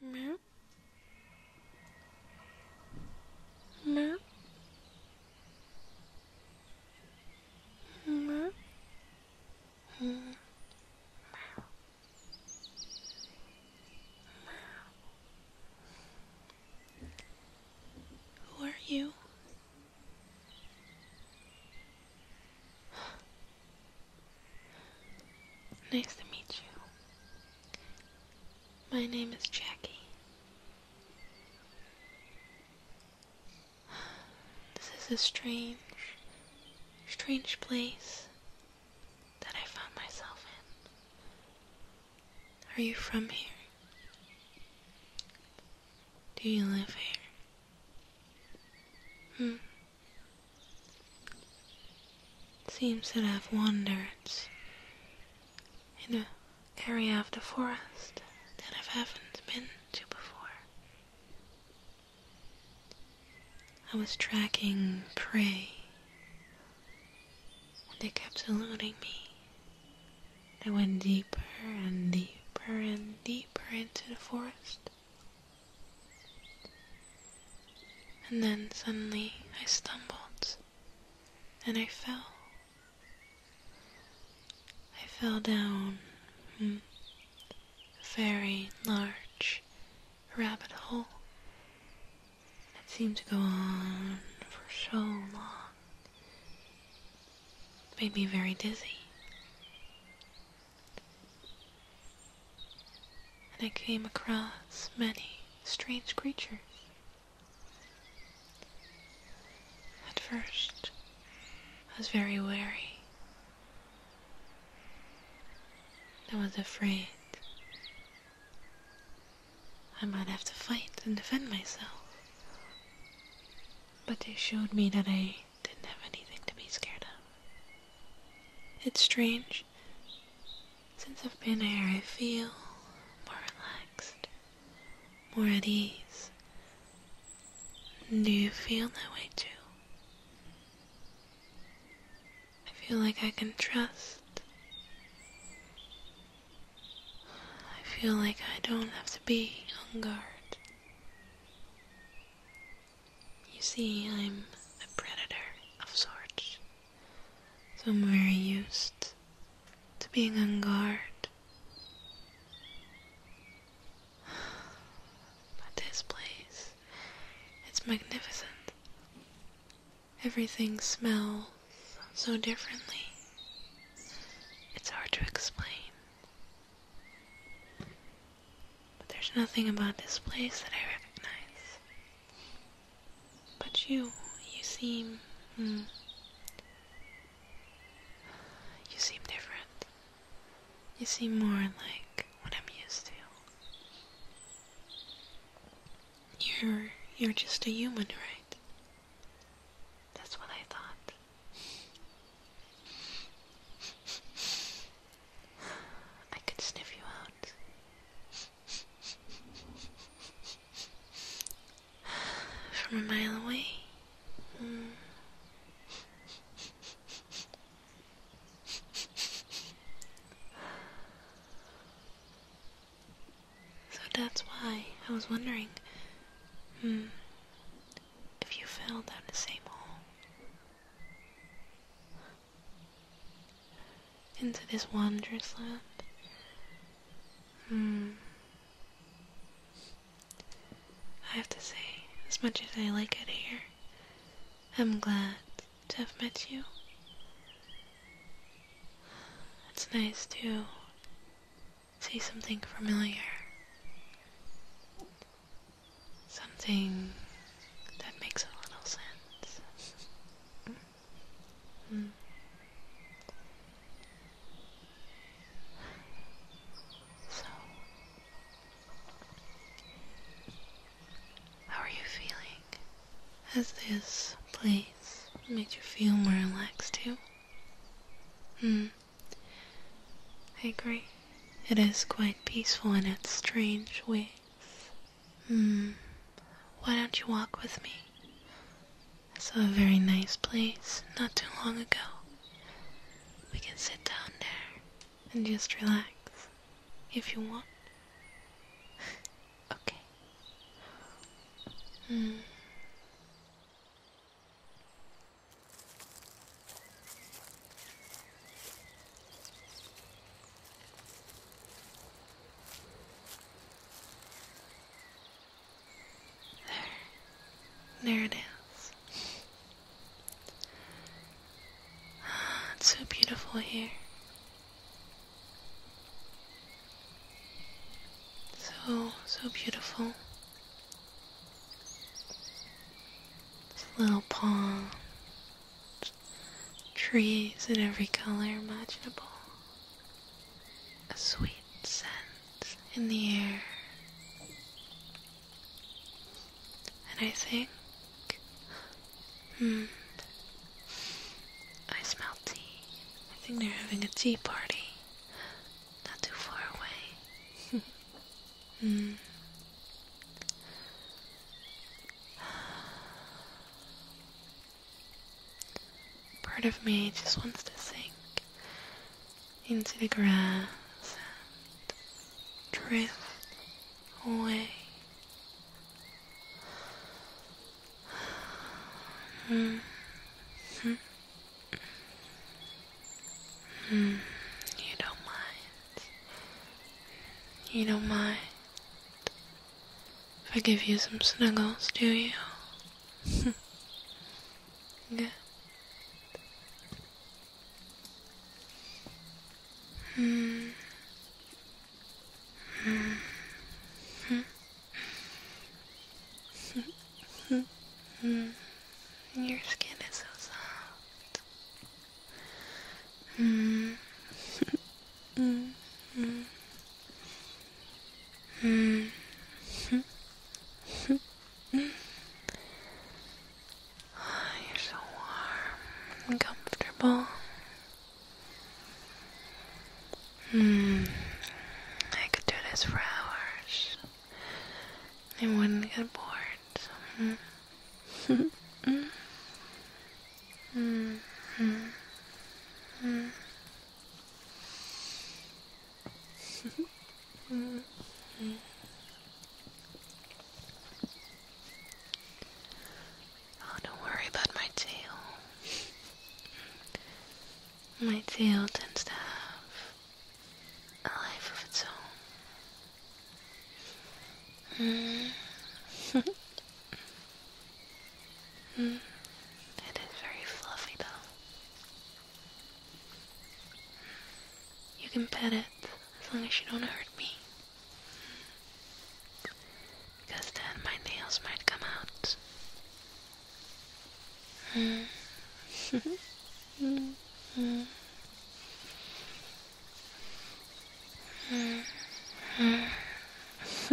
Meow. Meow. Meow. Meow. Who are you? Nice to meet you. My name is Jackie. This is a strange, strange place that I found myself in. Are you from here? Do you live here? Hmm. It seems that I've wandered in an area of the forest that I haven't been to before. I was tracking prey, and they kept eluding me. I went deeper and deeper and deeper into the forest. And then suddenly I stumbled and I fell. I fell down hmm, a very large rabbit hole that seemed to go on for so long. made me very dizzy and I came across many strange creatures. At first, I was very wary. I was afraid I might have to fight and defend myself. But they showed me that I didn't have anything to be scared of. It's strange. Since I've been here, I feel more relaxed, more at ease. Do you feel that way too? I feel like I can trust. I feel like I don't have to be on guard. You see, I'm a predator of sorts. So I'm very used to being on guard. But this place, it's magnificent. Everything smells so differently. It's hard to explain. But there's nothing about this place that I recognize. But you, you seem. Hmm, you seem different. You seem more like what I'm used to. You're. You're just a human, right? That's what I thought. I could sniff you out. From a mile away. Hmm. So that's why I was wondering. Hmm if you fell down the same hole. Into this wondrous land. Hmm. I have to say, as much as I like it here, I'm glad to have met you. It's nice too see something familiar, something that makes a little sense. Hmm. So, how are you feeling? Has this place made you feel more relaxed too? Hmm. I agree. It is quite peaceful in its strange ways. Hmm. Why don't you walk with me? It's a very nice place not too long ago. We can sit down there and just relax if you want. okay. Hmm. There. There it is. It's so beautiful here. So, so beautiful. little pond. Trees in every color imaginable. A sweet scent in the air. And I think, hmm, I smell tea. I think they're having a tea party. Not too far away. Hmm. Part of me just wants to sink into the grass and drift away Mm -hmm. mm, you don't mind. You don't mind. If I give you some snuggles, do you? Good. Mm. Your skin is so soft. Mm. mm. Mm. Oh, you're so warm and comfortable. Hmm. I could do this for hours. I wouldn't get bored. Hmm. hmm. Hmm. Hmm. Oh, don't worry about my tail. my tail tends to have a life of its own. Hmm. Hmm. It is very fluffy, though. You can pet it as long as you don't hurt me. Because then my nails might come out.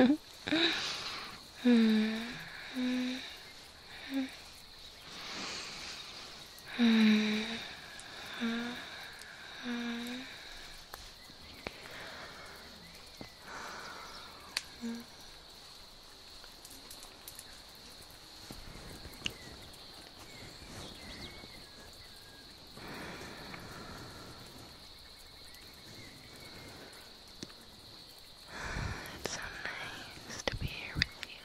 Mm. It's so nice to be here with you.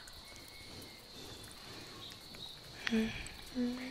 -hmm.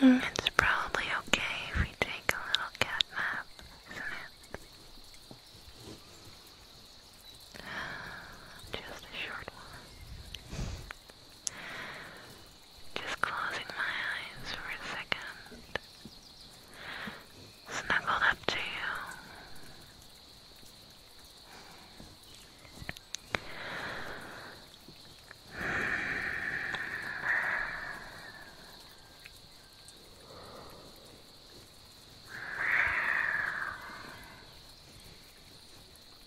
It's probably okay if we take a little cat nap, isn't it? Just a short one. Just closing my eyes for a second. Snuggled up to you.